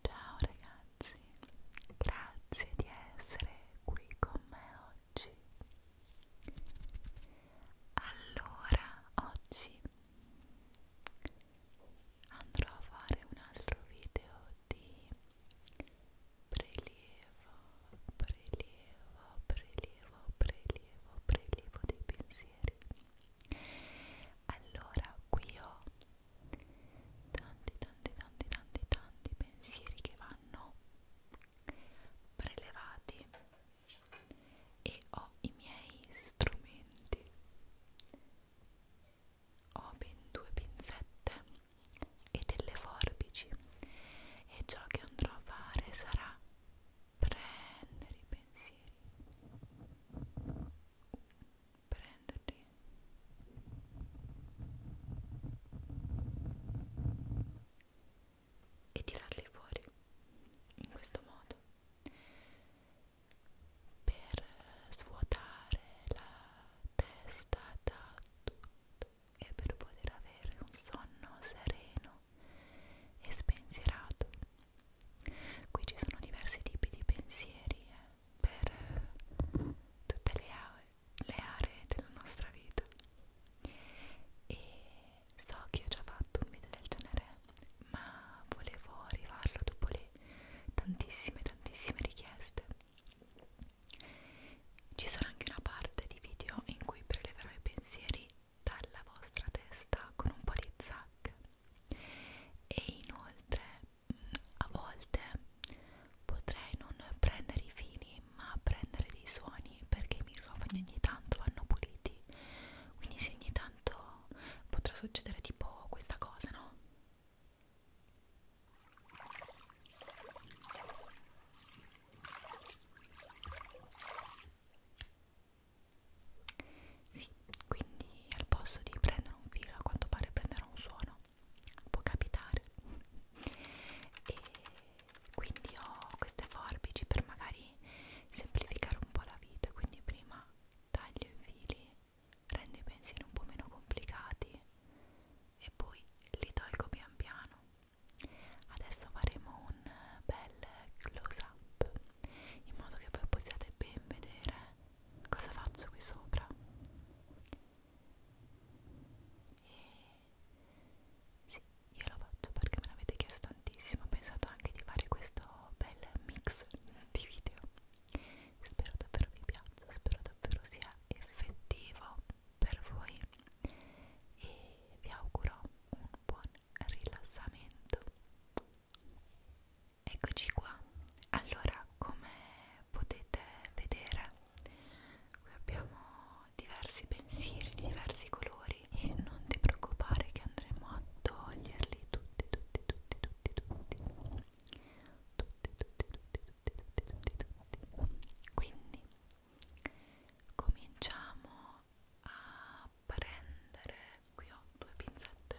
Ciao ragazzi, grazie di essere qui con me oggi. Allora, oggi andrò a fare un altro video di prelievo, prelievo, prelievo, prelievo, prelievo dei pensieri. Allora, qui ho tanti, tanti, tanti, tanti, tanti pensieri che vanno prelevati e ho i miei strumenti. Ho ben due pinzette e delle forbici e ciò che andrò a fare sarà prendere i pensieri prenderli e tirarli fuori in questo modo per svuotare la testa da tutto e per poter avere un sonno sereno e spensierato. Qui ci sono diversi tipi di pensieri eh, per tutte le, le aree della nostra vita. E so che ho già fatto un video del genere, ma volevo rifarlo dopo le tantissime, tantissime richieste ci sarà anche una parte di video in cui preleverò i pensieri dalla vostra testa con un po' di zac e inoltre a volte potrei non prendere i fili ma prendere dei suoni perché i microfoni ogni tanto vanno puliti quindi se ogni tanto potrà succedere tipo questa cosa no? Sì, quindi al posto di prendere un filo, a quanto pare prendere un suono, può capitare. e quindi ho queste forbici per magari semplificare un po' la vita, quindi prima taglio i fili, rendo i pensieri un po' meno complicati e poi li tolgo pian piano Adesso faremo un bel close up in modo che voi possiate ben vedere cosa faccio qui sopra e sì, io lo faccio perché me l'avete chiesto tantissimo ho pensato anche di fare questo bel mix di video spero davvero vi piaccia spero davvero sia effettivo per voi e vi auguro un buon rilassamento eccoci qua allora come potete vedere qui abbiamo diversi pensieri di diversi colori e non ti preoccupare che andremo a toglierli tutti tutti tutti tutti tutti tutti tutti tutti tutti tutti tutti tutti quindi cominciamo a prendere qui ho due pinzette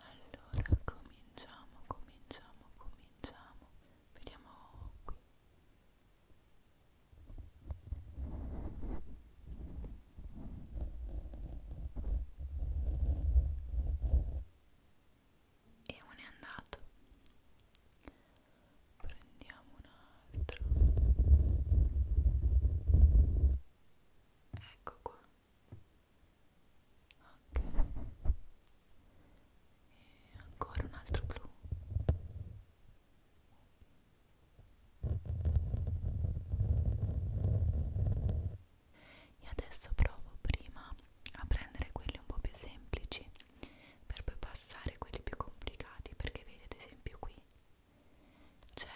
allora cominciamo cominciamo cominciamo vediamo qui e uno è andato prendiamo un altro ecco qua ok e ancora un altro blu e adesso provo prima a prendere quelli un po' più semplici per poi passare a quelli più complicati perché vedete ad esempio qui c'è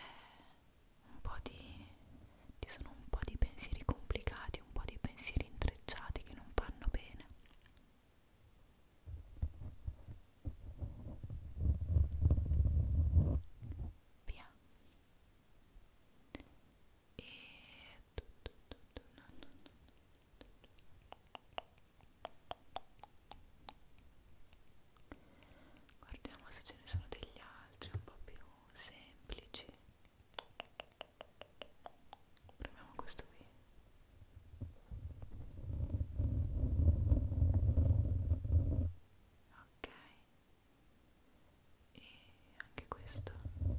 un po' di ci sono un po' di pensieri complicati un po' di pensieri intrecciati che non vanno bene Via e tutto, tutto, no, no, no, no. guardiamo se ce ne sono degli altri un po' più semplici proviamo questo qui ok e anche questo ok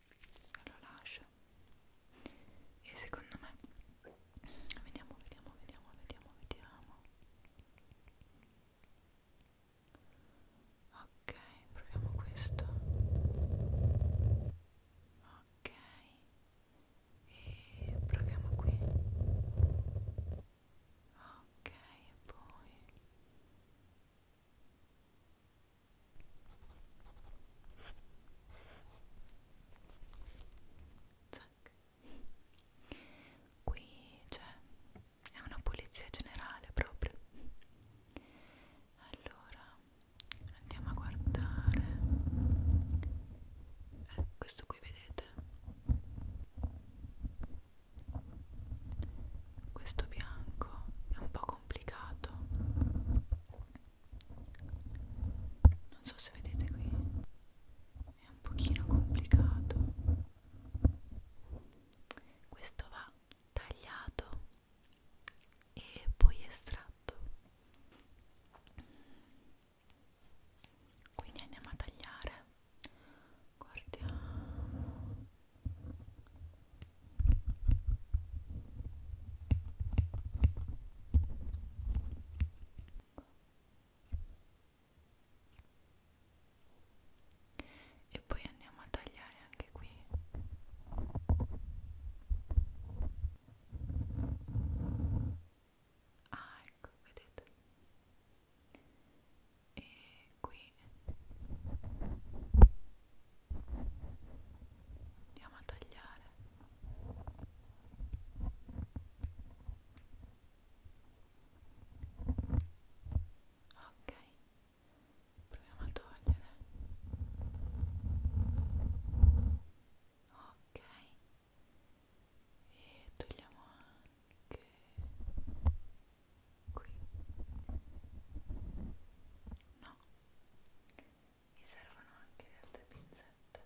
lo lascia e secondo me vediamo vediamo vediamo vediamo vediamo ok proviamo questo ok e proviamo qui ok e poi Zac. Qui c'è cioè, è una pulizia generale proprio. Allora andiamo a guardare. Eh, questo qui vedete. Questo bianco è un po' complicato non so se vedete qui è un pochino complicato questo va tagliato e poi estratto quindi andiamo a tagliare guardiamo e poi andiamo a tagliare anche qui ah ecco vedete e qui andiamo a tagliare ok proviamo a togliere ok e togliamo anche qui no mi servono anche le altre pinzette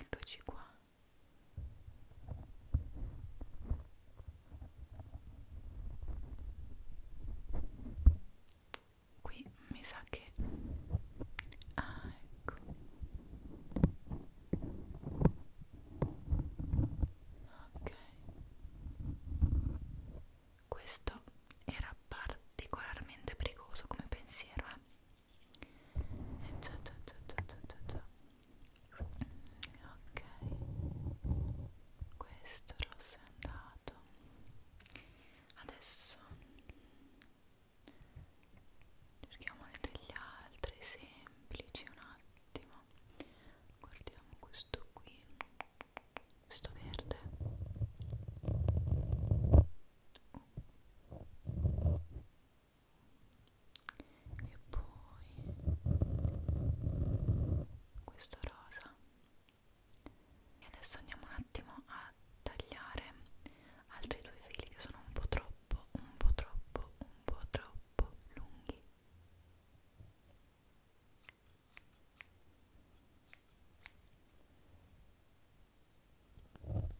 eccoci qua qui mi sa che ah ecco ok questo era particolarmente precoce come pensiero eh e eh, già, già, già, già, già, già. ok questo rosso è andato adesso cerchiamo degli altri semplici un attimo ottimo guardiamo questo qui questo verde e poi questo rosa e adesso andiamo un attimo a tagliare altri due fili che sono un po' troppo troppo, un po' troppo, un po' troppo lunghi. Ecco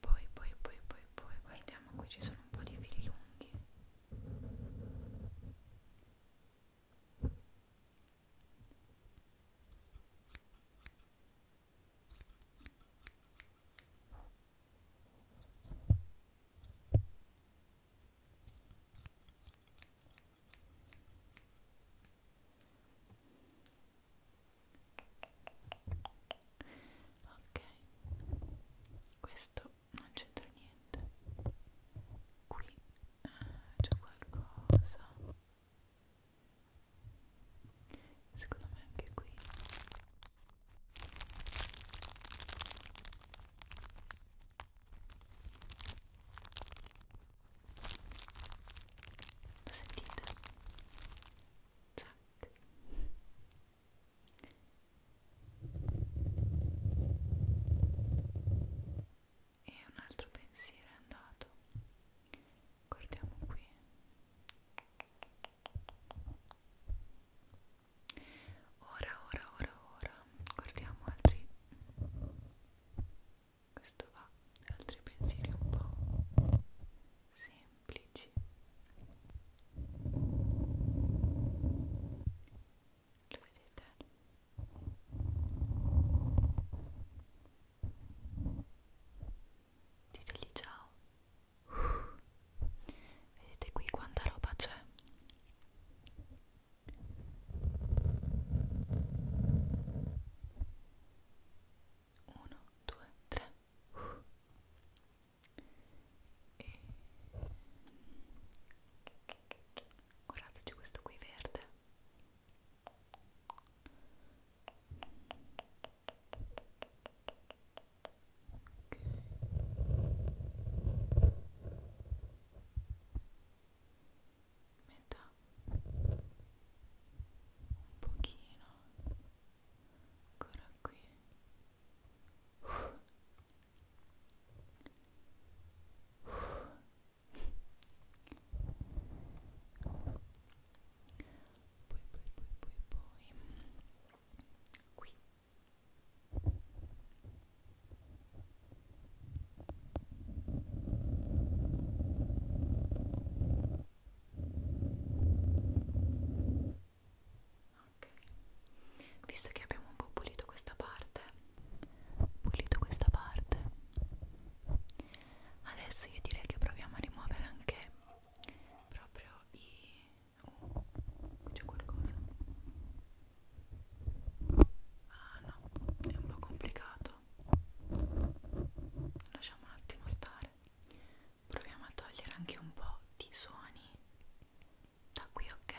poi, poi, poi, poi, poi, guardiamo qui ci sono un po' di fili lunghi ok questo non c'entra niente qui eh, c'è qualcosa secondo me anche qui ok lo sentite? Zac. E un altro pensiero è andato. Guardiamo qui. Ora, ora, ora, ora. Guardiamo altri questo va altri pensieri un po' semplici lo vedete? ditegli ciao vedete qui quanta roba c'è 1, 2, 3 e guardateci questo qui verde okay metà un pochino ancora qui poi poi poi poi poi qui Ok, visto che abbiamo un po' pulito questa parte, pulito questa parte, adesso io direi che proviamo a rimuovere anche proprio i... Oh, c'è qualcosa? Ah no, è un po' complicato tutto lasciamo un attimo stare proviamo a togliere anche un po' di suoni da qui ok ok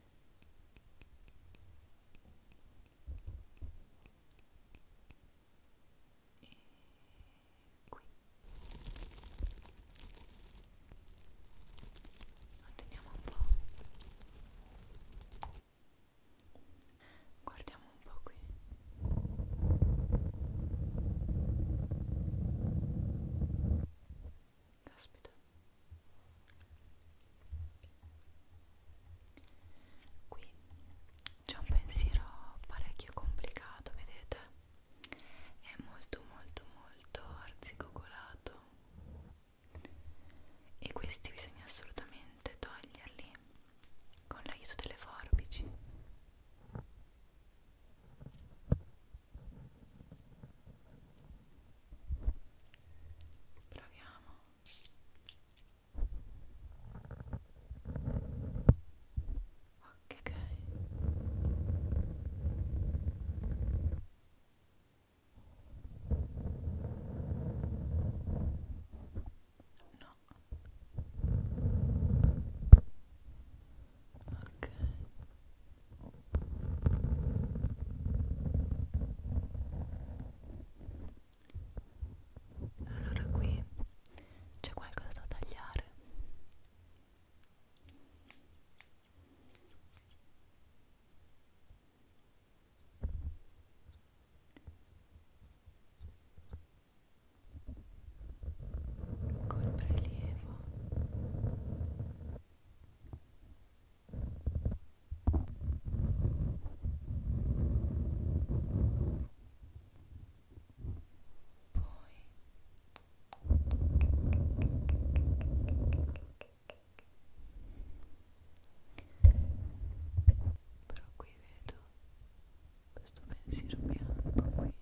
e qui lo teniamo un po' guardiamo un po' qui Caspita. Qui c'è un pensiero parecchio complicato, vedete? È molto molto molto arzigogolato. E questi bisogna assolutamente toglierli con l'aiuto delle forbici proviamo ok no ok allora qui c'è qualcosa da tagliare. Col prelievo però qui vedo questo pensiero bianco qui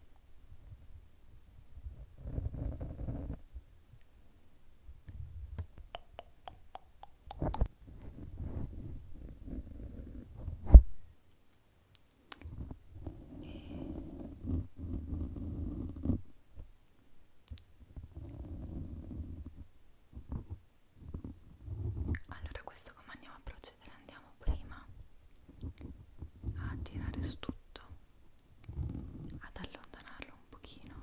allora questo come andiamo a procedere? Andiamo prima a tirare su tutto ad allontanarlo un pochino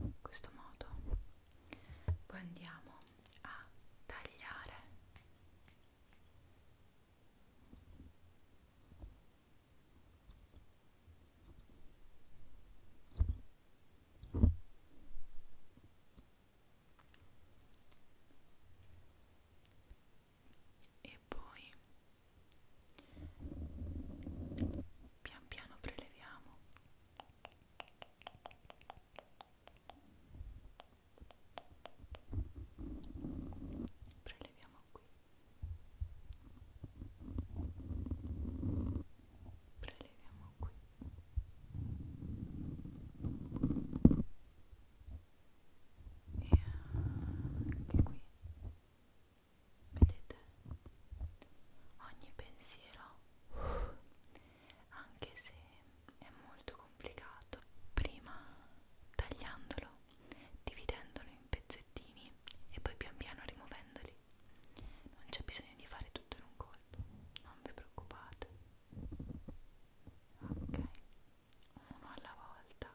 in questo modo poi andiamo a tagliare e poi pian piano preleviamo preleviamo qui preleviamo qui e anche qui vedete ogni pensiero anche se è molto complicato prima tagliandolo dividendolo in pezzettini e poi pian piano rimuovendoli non c'è bisogno di fare tutto in un colpo non vi preoccupate ok uno alla volta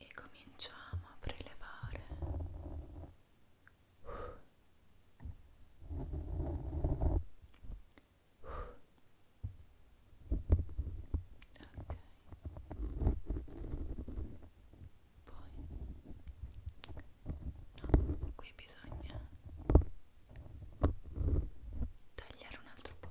e cominciamo a prelevare ok poi no, qui bisogna tagliare un altro po'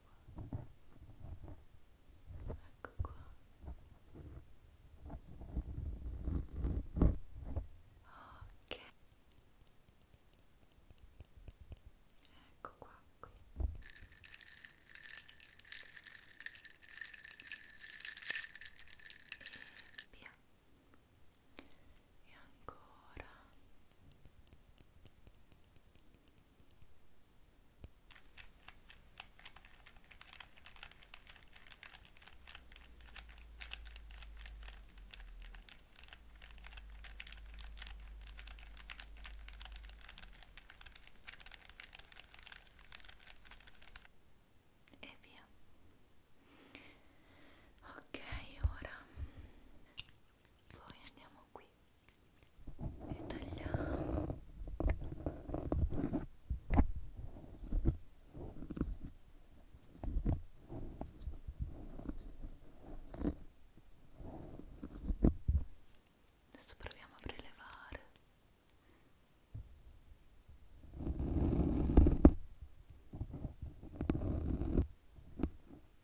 qua ecco qua ok ecco qua qui e via e ancora e via ok ora poi andiamo tagliamo qui e tagliamo adesso proviamo a prelevare ok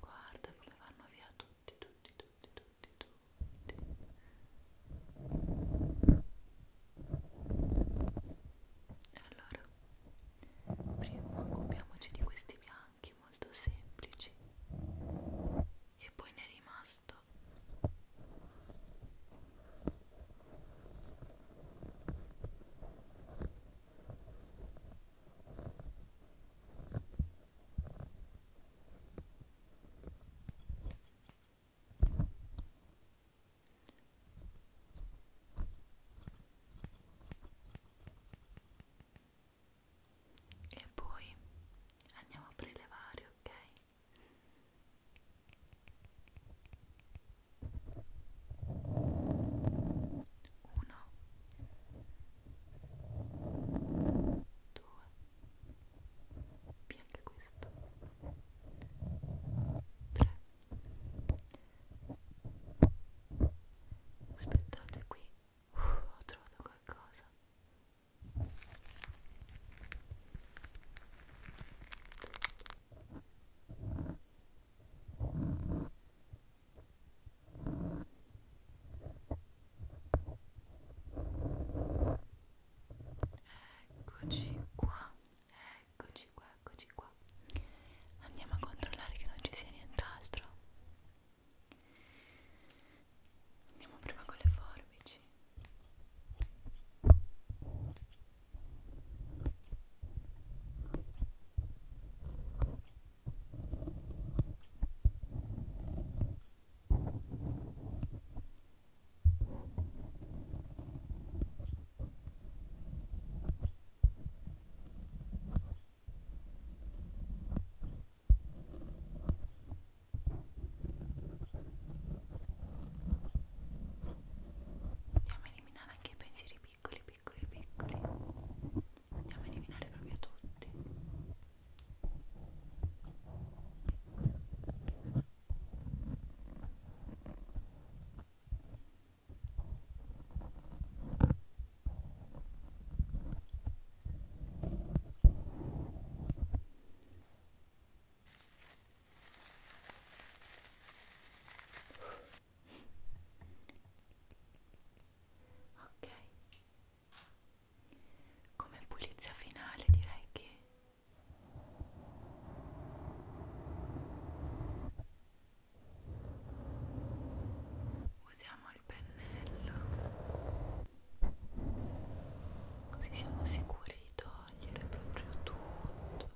Guarda come vanno via tutti, tutti, tutti, tutti, tutti. Allora, prima occupiamoci di questi bianchi molto semplici e poi ne è rimasto e poi andiamo a prelevare ok uno due via anche questo tre aspettate qui Uff, uh, ho trovato qualcosa Eccoci qua, eccoci qua, eccoci qua. Andiamo a controllare che non ci sia nient'altro. Andiamo prima con le forbici. Andiamo a eliminare anche i pensieri piccoli piccoli piccoli andiamo a eliminare proprio tutti ok come pulizia finale direi che usiamo il pennello così siamo sicuri di togliere proprio tutto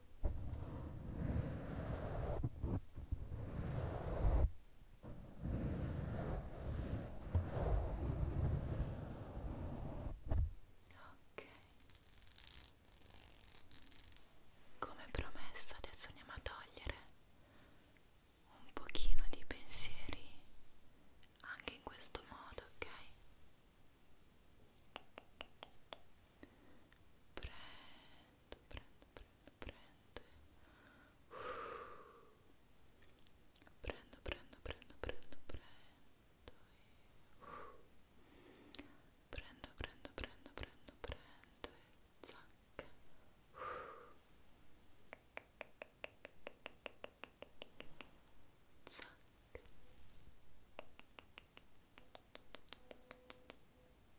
Ok. Come promesso adesso andiamo a togliere un pochino di pensieri anche in questo modo, ok? prendo, prendo, prendo, prendo Uff. prendo, prendo, prendo, prendo, prendo e Uff. prendo, prendo, prendo, prendo, prendo e zac Zac. Zac.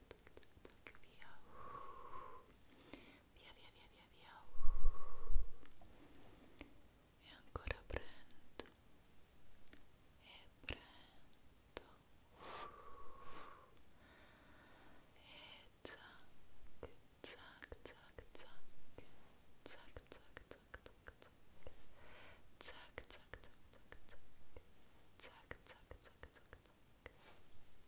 pluck, via, via, via, via, via, e ancora prendo e prendo e zac, zac, zac, zac zac, zac, zac, zac, zac zac, zac, zac, zac zac, zac, zac,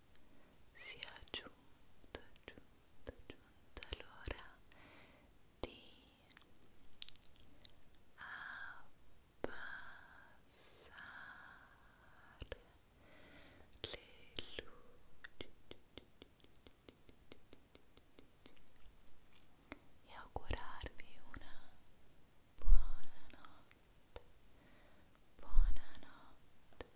sia giunto, giunto, giunto l'ora di abbassare le luci e augurarvi una buona notte buonanotte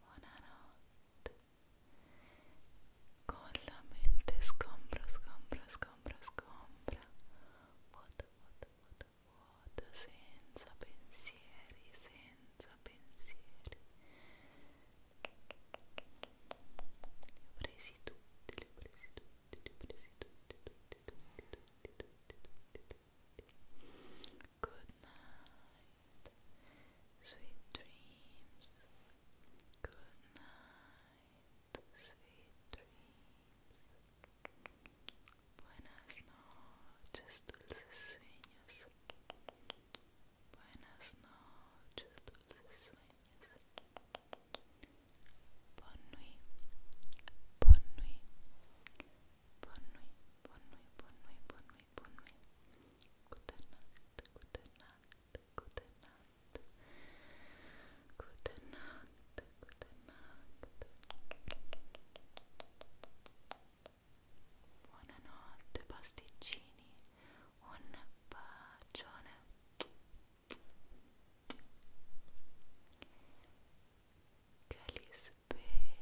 buonanotte con la mente scombra, scombra, scombra, scombra vuota, vuota, vuota, vuota senza pensieri, senza pensieri li ho presi tutti, li ho presi tutti, li ho presi tutti, tutti, tutti, tutti, tutti, tutti, Sweet dreams. Good night. Sweet dreams. Buenas noches, dulces sueños. Buenas noches, dulces sueños. Bonne nuit. Bonne nuit. Bonne nuit. Bonne nuit. Bonne nuit. Bonne nuit bunny. Good night, good night, Buonanotte pasticcini, un bacione. Che